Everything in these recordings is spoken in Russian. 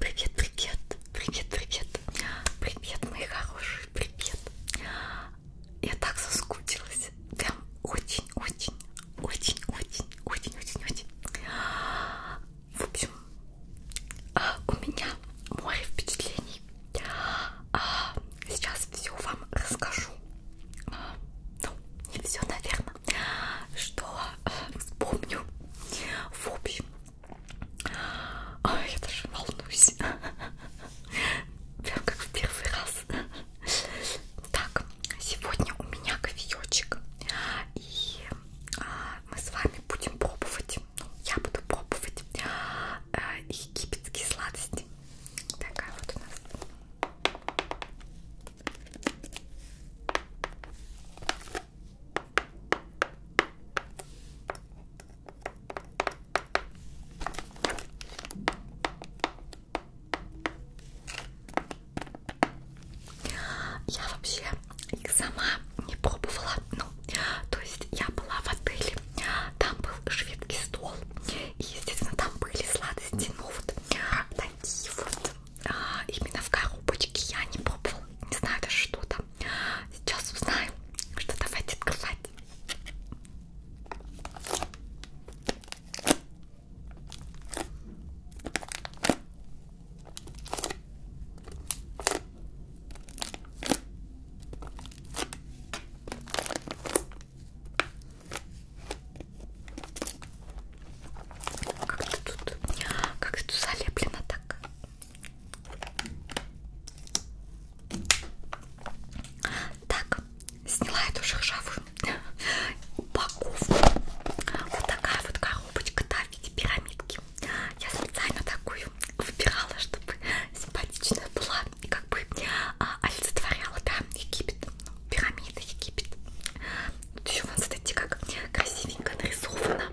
Привет, привет, привет, привет, привет, мои хорошие, привет. Я так соскучилась, прям очень, очень, очень, очень, очень, очень, очень. В общем, а, у меня море впечатлений. А, сейчас все вам расскажу. А, ну, не все, наверное, что вспомню. В общем, Ой, я даже волнуюсь. Прям как в первый раз. Так, сегодня у меня кофеечек. И а, мы с вами будем пробовать. Ну, я буду пробовать э, египетские сладости. Такая вот у нас. Я вообще их сама не пробовала. Ну, то есть я была в отеле, там был шведский стол, и, естественно, там были сладости, ну вот такие вот а, именно в коробочке я не пробовала, не знаю даже что там. Сейчас узнаю, что давайте открывать. Как-то тут, как тут залеплено так. Так, сняла эту шершавую упаковку. Вот такая вот коробочка, да, в виде пирамидки. Я специально такую выбирала, чтобы симпатичная была и как бы а, олицетворяла, да, Египет, ну, пирамида Египет. Тут еще, вот, смотрите, как красивенько нарисовано.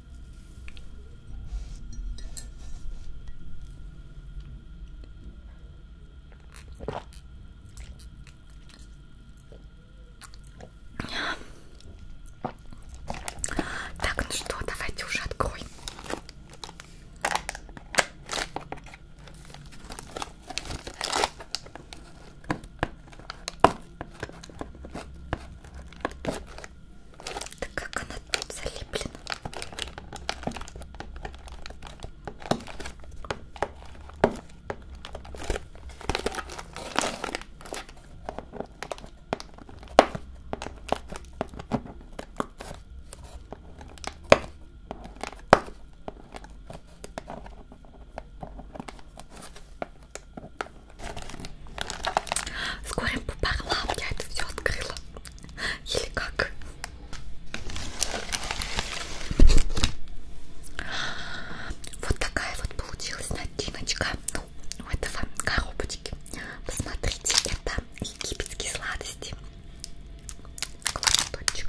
Так, ну что, давайте уже откроем. Да как она тут залиплена? Скорым попарла, я это все открыла. Или как? Вот такая вот получилась начиночка. Ну, у ну, этого коробочки. Посмотрите, это египетские сладости. Классоточек.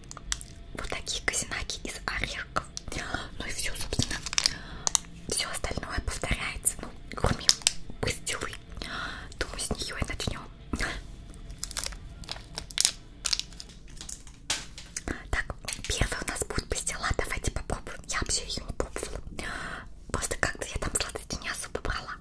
вот такие казинаки из орехов. Ну и все, собственно, все остальное повторяется. Ну, кроме быстрый. Думаю, с нее и начнем. Так, первый у нас будет пастила. Давайте попробуем. Я вообще ее не пробовала. Просто как-то я там сладости не особо брала.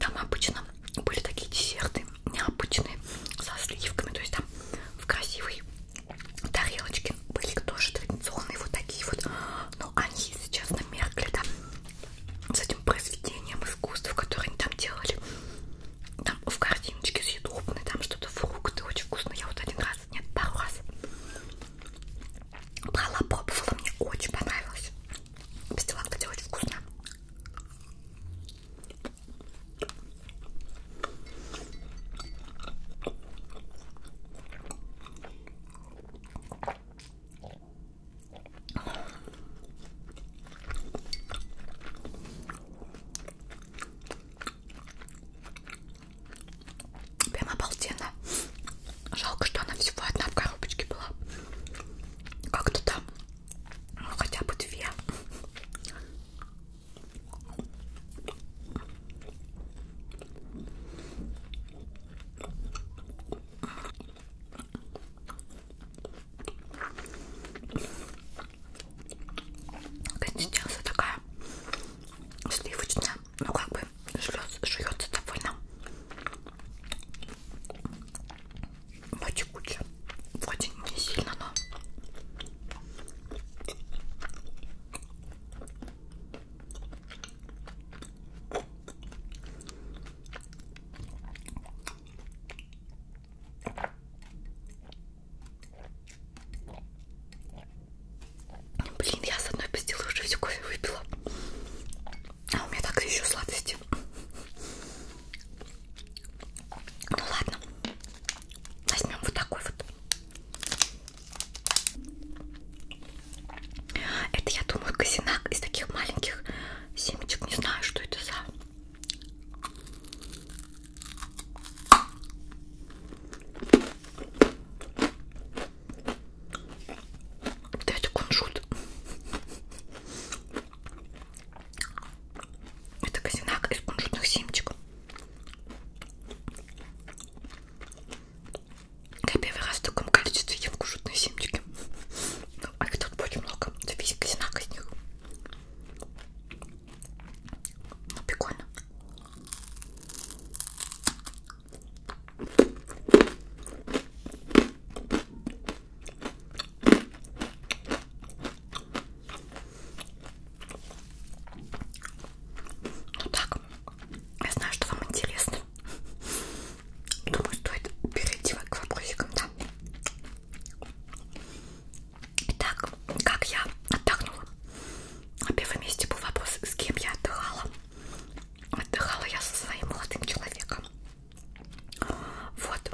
Там обычно были такие десерты необычные со сливками, то есть там в красивой тарелочке были тоже традиционные вот такие вот, но они сейчас намеркли, да, с этим произведением искусства, которое они там делали. Там в картиночке съедобные, там что-то фрукты очень вкусно. Я вот один раз, нет, пару раз брала, пробовала, мне очень понравилось. Пастилак, кстати, очень вкусно. Прям обалденно. Жалко, что она всего одна в коробочке была. Как-то там, ну хотя бы две. Консистенция такая сливочная, ну как бы жуется довольно но текучая, очень не сильно, но Блин, я с одной пастилы уже всю кофе выпила. А у меня так еще сладости. Ну ладно. Возьмем вот такой вот. Это, я думаю, казинак из таких маленьких семечек. Не знаю, что это за... Да это кунжут. Это казинак из кунжутных семечек. Я первый раз в таком количестве ем кушутные семечки. Ну, а их тут очень много. Это весь казинак из них. Ну, прикольно. Ну так, я знаю, что вам интересно. Думаю, стоит перейти к вопросикам, да? Итак, как я отдохнула? На первом месте был вопрос, с кем я отдыхала. Отдыхала я со своим молодым человеком. Вот,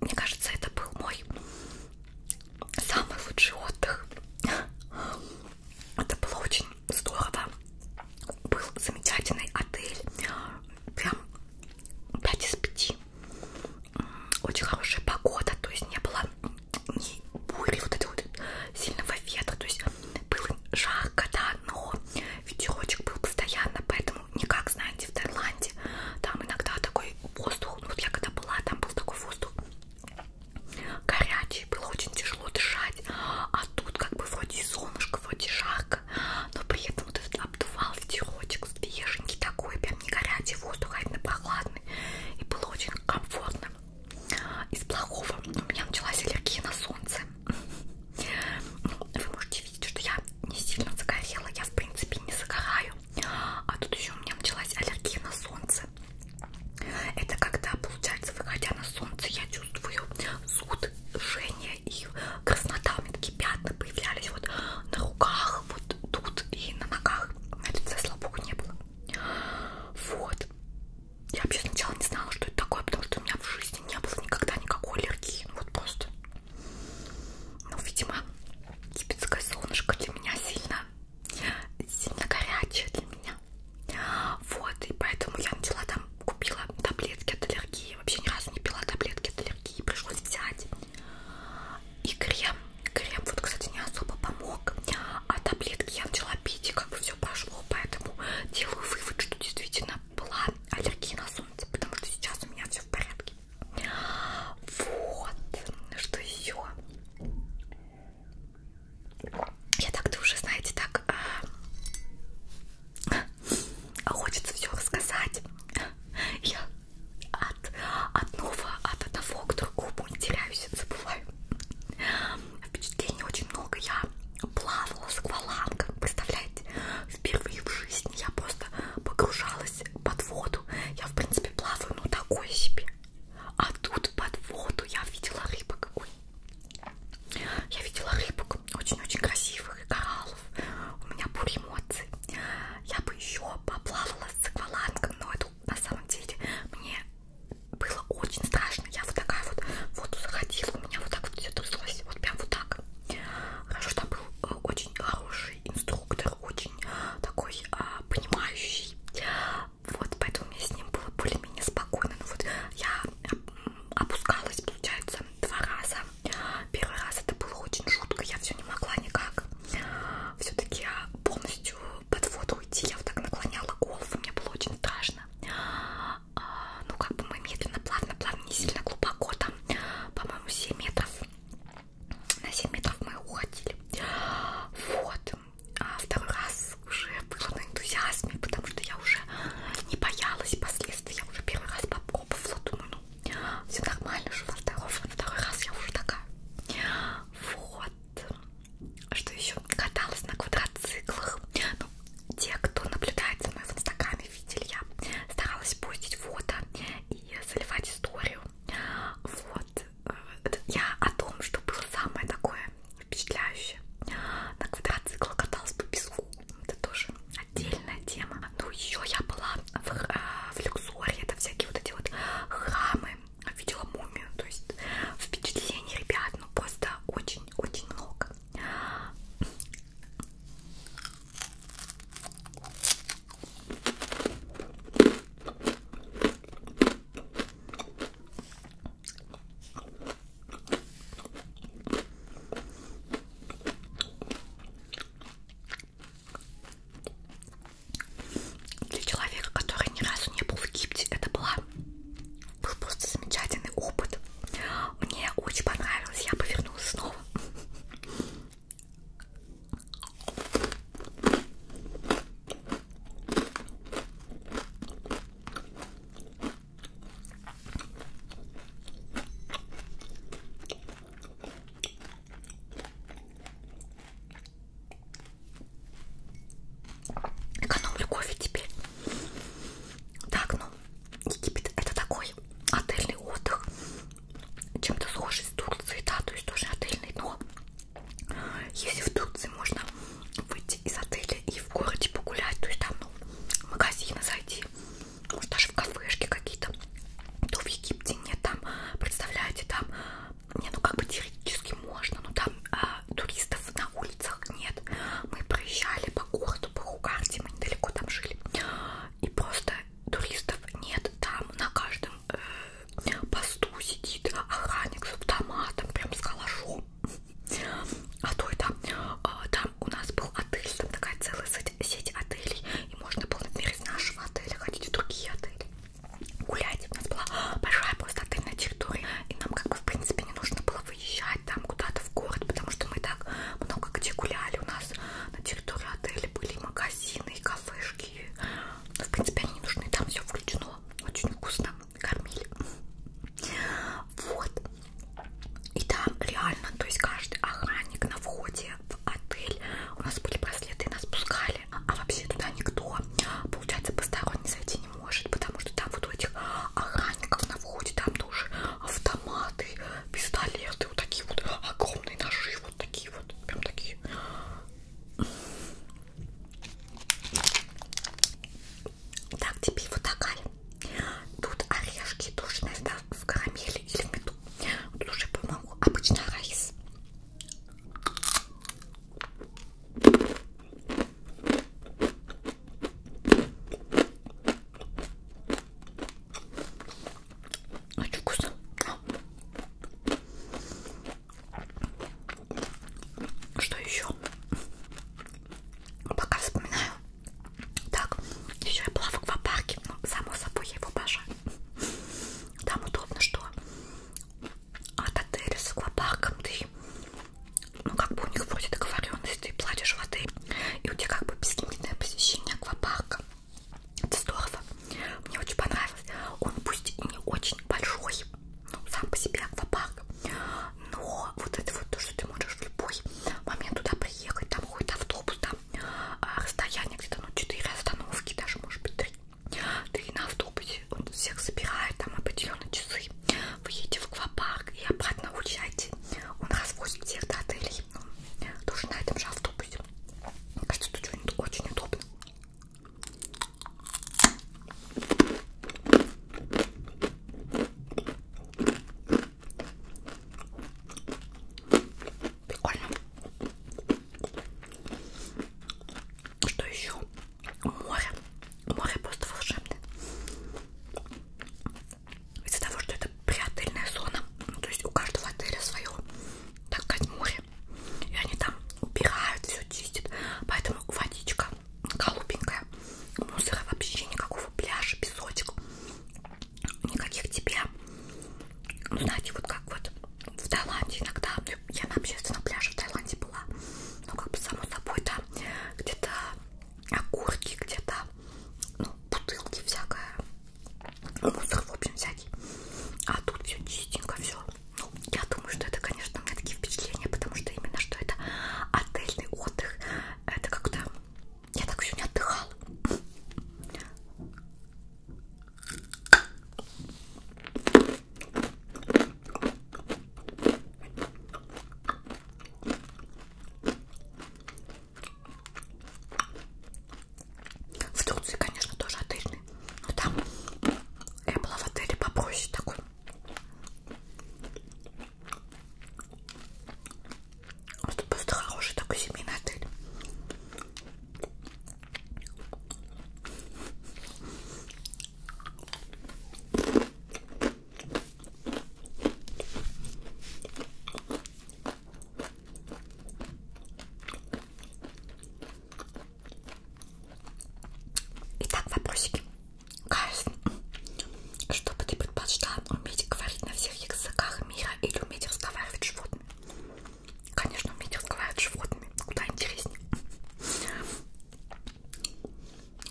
мне кажется, это был мой самый лучший отдых. Это было очень здорово. Был замечательный отель. Прям 5 из 5. Очень хорошая погода, то есть не было ни бури, вот этого вот сильного ветра. То есть было жарко, да, но ветерочек был постоянно, поэтому не как, знаете, в Таиланде. Там иногда такой воздух, ну вот я когда была, там был такой воздух горячий, было очень тяжело дышать. А тут как бы вроде солнышко, вроде жарко жарко, но при этом вот этот обдувал ветерочек свеженький такой, прям не горячий воздух, а именно прохладный. И было очень комфортно. Из плохого у меня началась аллергия на солнце. Ну, вы можете видеть, что я не сильно загорела, я в принципе не загораю. А тут еще у меня началась аллергия на солнце. Это когда, получается, выходя на солнце, я чувствую чувствую зуд, жжение и краснота. У меня такие пятна появлялись вот на руках, вот тут и на ногах. На лице, слава богу, не было. Вот. Я вообще сначала не знала, что это такое, потому что у меня в жизни не было никогда никакой аллергии. Ну, вот просто. Ну, видимо, египетское солнышко для меня сильно, сильно горячее для меня. Вот, и поэтому я начала там купила таблетки от аллергии, вообще ни разу не пила таблетки от аллергии, пришлось взять. И крем, крем вот, кстати, не особо помог, а таблетки я начала пить и как бы все прошло, поэтому делаю вывод, что действительно была аллергия на солнце, потому что сейчас у меня все в порядке. Вот, что еще? Я так-то уже, знаете, так а, а хочется все рассказать. Я от одного, от одного к другому не теряюсь, забываю. Впечатлений очень много. Я плавала с аквалангом, представляете? Впервые в жизни я просто погружалась под воду. Я, в принципе, плаваю, ну, такой себе. А тут под воду я видела рыбок. Ой. Я видела рыбок много очень-очень красивых кораллов. У меня бурь эмоций. Я бы еще поплавала с аквалангом, но это на самом деле мне было очень страшно. Я вот такая вот в воду заходила, у меня вот так вот все тряслось, вот прям вот так. Хорошо, там был э, очень хороший инструктор, очень э, такой а, понимающий. Вот, поэтому мне с ним было более-менее спокойно. Но ну вот я опускалась, получается, два раза. Первый раз это было очень жутко, я все не могла никак. Все-таки полностью под воду уйти, я вот так наклоняла голову, мне было очень страшно. А, ну, как бы мы медленно, плавно, плавно, не сильно глубоко, там, по-моему, 7 метров. На 7 метров мы уходили. Вот. А второй раз уже было на энтузиазме, потому что я уже не боялась последствий. Я уже первый раз попробовала, думаю, ну, все нормально, что на второй, на второй раз я уже такая. Вот. Что еще? Каталась на квадроциклах. Ну, те, кто наблюдает за мной в инстаграме, видели, я старалась постить фото и заливать историю. Вот. Э, я о том, что было самое такое впечатляюще. На квадроцикл каталась по песку. Это тоже отдельная тема. Ну еще я была в, э, в Люксоре. Это всякие вот эти вот храмы. Видела мумию. То есть впечатлений, ребят, ну просто очень-очень много. Для человека, который ни разу не был в Египте, это была, был просто замечательный опыт. Мне очень понравилось, я повернулась снова. Экономлю кофе теперь. Так, ну, Египет это такой отельный отдых. Чем-то схожий с Турцией, да, то есть тоже отельный, но если в Турции можно выйти из отеля и в городе погулять, то есть там ну, в магазины зайти, может даже в кафешки какие-то, то в Египте нет, там, представляете, там, не, ну как бы теоретически можно, но там э, туристов на улицах нет, мы проезжали по городу, по Хугарте, мы недалеко там жили, и просто туристов нет, там на каждом э, посту сидит охранник с автоматом, прям с калашом, а то это, а, там у нас был отель, там такая целая сеть отелей, и можно было, например, из нашего отеля ходить в другие отели, гулять. У нас была большая просто отельная территория, и нам как бы, в принципе, не нужно было выезжать там куда-то в город, потому что мы и так много где гуляли. У нас на территории отеля были магазины, и кафешки. В принципе, они не нужны, там все включено. Очень вкусно кормили. Вот. И там реально, то есть каждый охранник на входе в отель, у нас были браслеты, нас пускали. А вообще туда никто, получается, посторонний зайти не может, потому что там вот у этих охранников на входе, там тоже автоматы, пистолеты, вот такие вот огромные ножи, вот такие вот, прям такие. Так, тебе вот такая. Тут орешки тоже, наверное, в карамели или в меду. Тут уже, по-моему, обычно райс. Очень вкусно. Что еще? Ну, пока вспоминаю. Так, еще я была в аквапарке, но ну, само собой я его обожаю. Там удобно, что от отеля с аквапарком ты, ну как бы у них вроде договоренность, ты платишь в отель, и у тебя как бы бесконечное посещение аквапарка. Это здорово. Мне очень понравилось. Он пусть и не очень большой, ну, сам по себе аквапарк. Но вот это вот то, что ты можешь в любой момент туда приехать, там какой-то автобус, там а, расстояние где-то, ну, 4 остановки, даже, может быть, 3. Ты на автобусе, он всех собирает, там определенные часы. Вы едете в аквапарк и обратно уезжаете. Он развозит всех до отелей, ну, тоже на этом же автобусе. Мне кажется, тут что-нибудь очень удобно. Прикольно. Что еще? Море. Море просто волшебное. Из-за того, что это приотельная зона, ну, то есть у каждого отеля свое, так сказать, море. И они там убирают, все чистят. Поэтому водичка голубенькая. Мусора вообще никакого, пляжа, песочек. Никаких тебе. Ну, знаете, вот как вот в Таиланде иногда. Ну, я на общественном пляже в Таиланде была. Ну, как бы само собой, там где-то окурки, где-то ну, бутылки всякое. Мусор, в общем, всякий. А тут все чистенько, все. Ну, я думаю, что это, конечно, у меня такие впечатления, потому что именно что это отельный отдых. Это как-то... Я так еще не отдыхала. В Турции, конечно, тоже отельный, но там я была в отеле попроще такой. Это просто хороший такой семейный отель. Итак, вопросики. Кайс, что бы ты предпочла? Уметь говорить на всех языках мира или уметь разговаривать с животными? Конечно, уметь разговаривать с животными. Куда интереснее.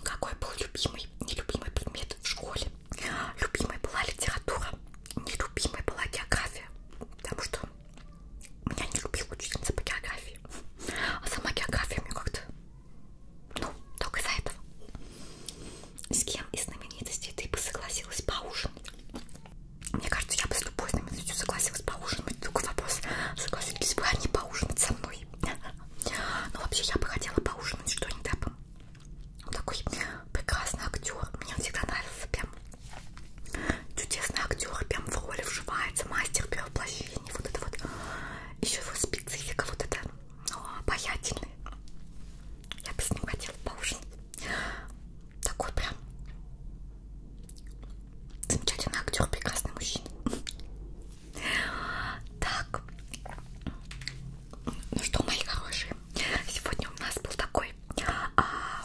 Какой был любимый, нелюбимый предмет в школе? Любимой была литература, нелюбимой была география, потому что меня не любила учительница по географии. А сама география мне как-то ну, только из-за этого. С кем из знаменитостей ты бы согласилась поужинать? Мне кажется, я бы с любой знаменитостью согласилась поужинать. Только вопрос, согласились бы они поужинать со мной? Но ну, вообще я бы хотела поужинать что-нибудь. Он такой прекрасный актер. Мне он всегда нравился прям. Чудесный актер, прям в роли вживается, мастер перевоплощения. Вот это вот еще его специфика вот эта о, обаятельная. Я бы с ним хотела поужинать. Такой прям замечательный актер, прекрасный мужчина. Так, ну что, мои хорошие, сегодня у нас был такой а,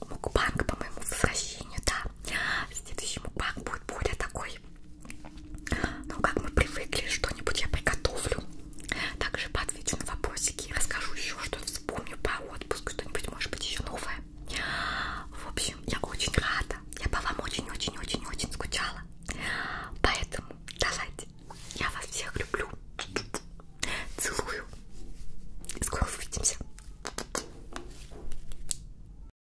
мукбанг по моему возвращению, да. Следующий мукбанг будет более такой домой. Но как мы привыкли, что-нибудь я приготовлю. Также поотвечу на вопросики, расскажу еще, что вспомню про отпуск, что-нибудь может быть еще новое. В общем, я очень рада. Я по вам очень-очень-очень-очень скучала. Поэтому давайте. Я вас всех люблю. Целую. Скоро увидимся.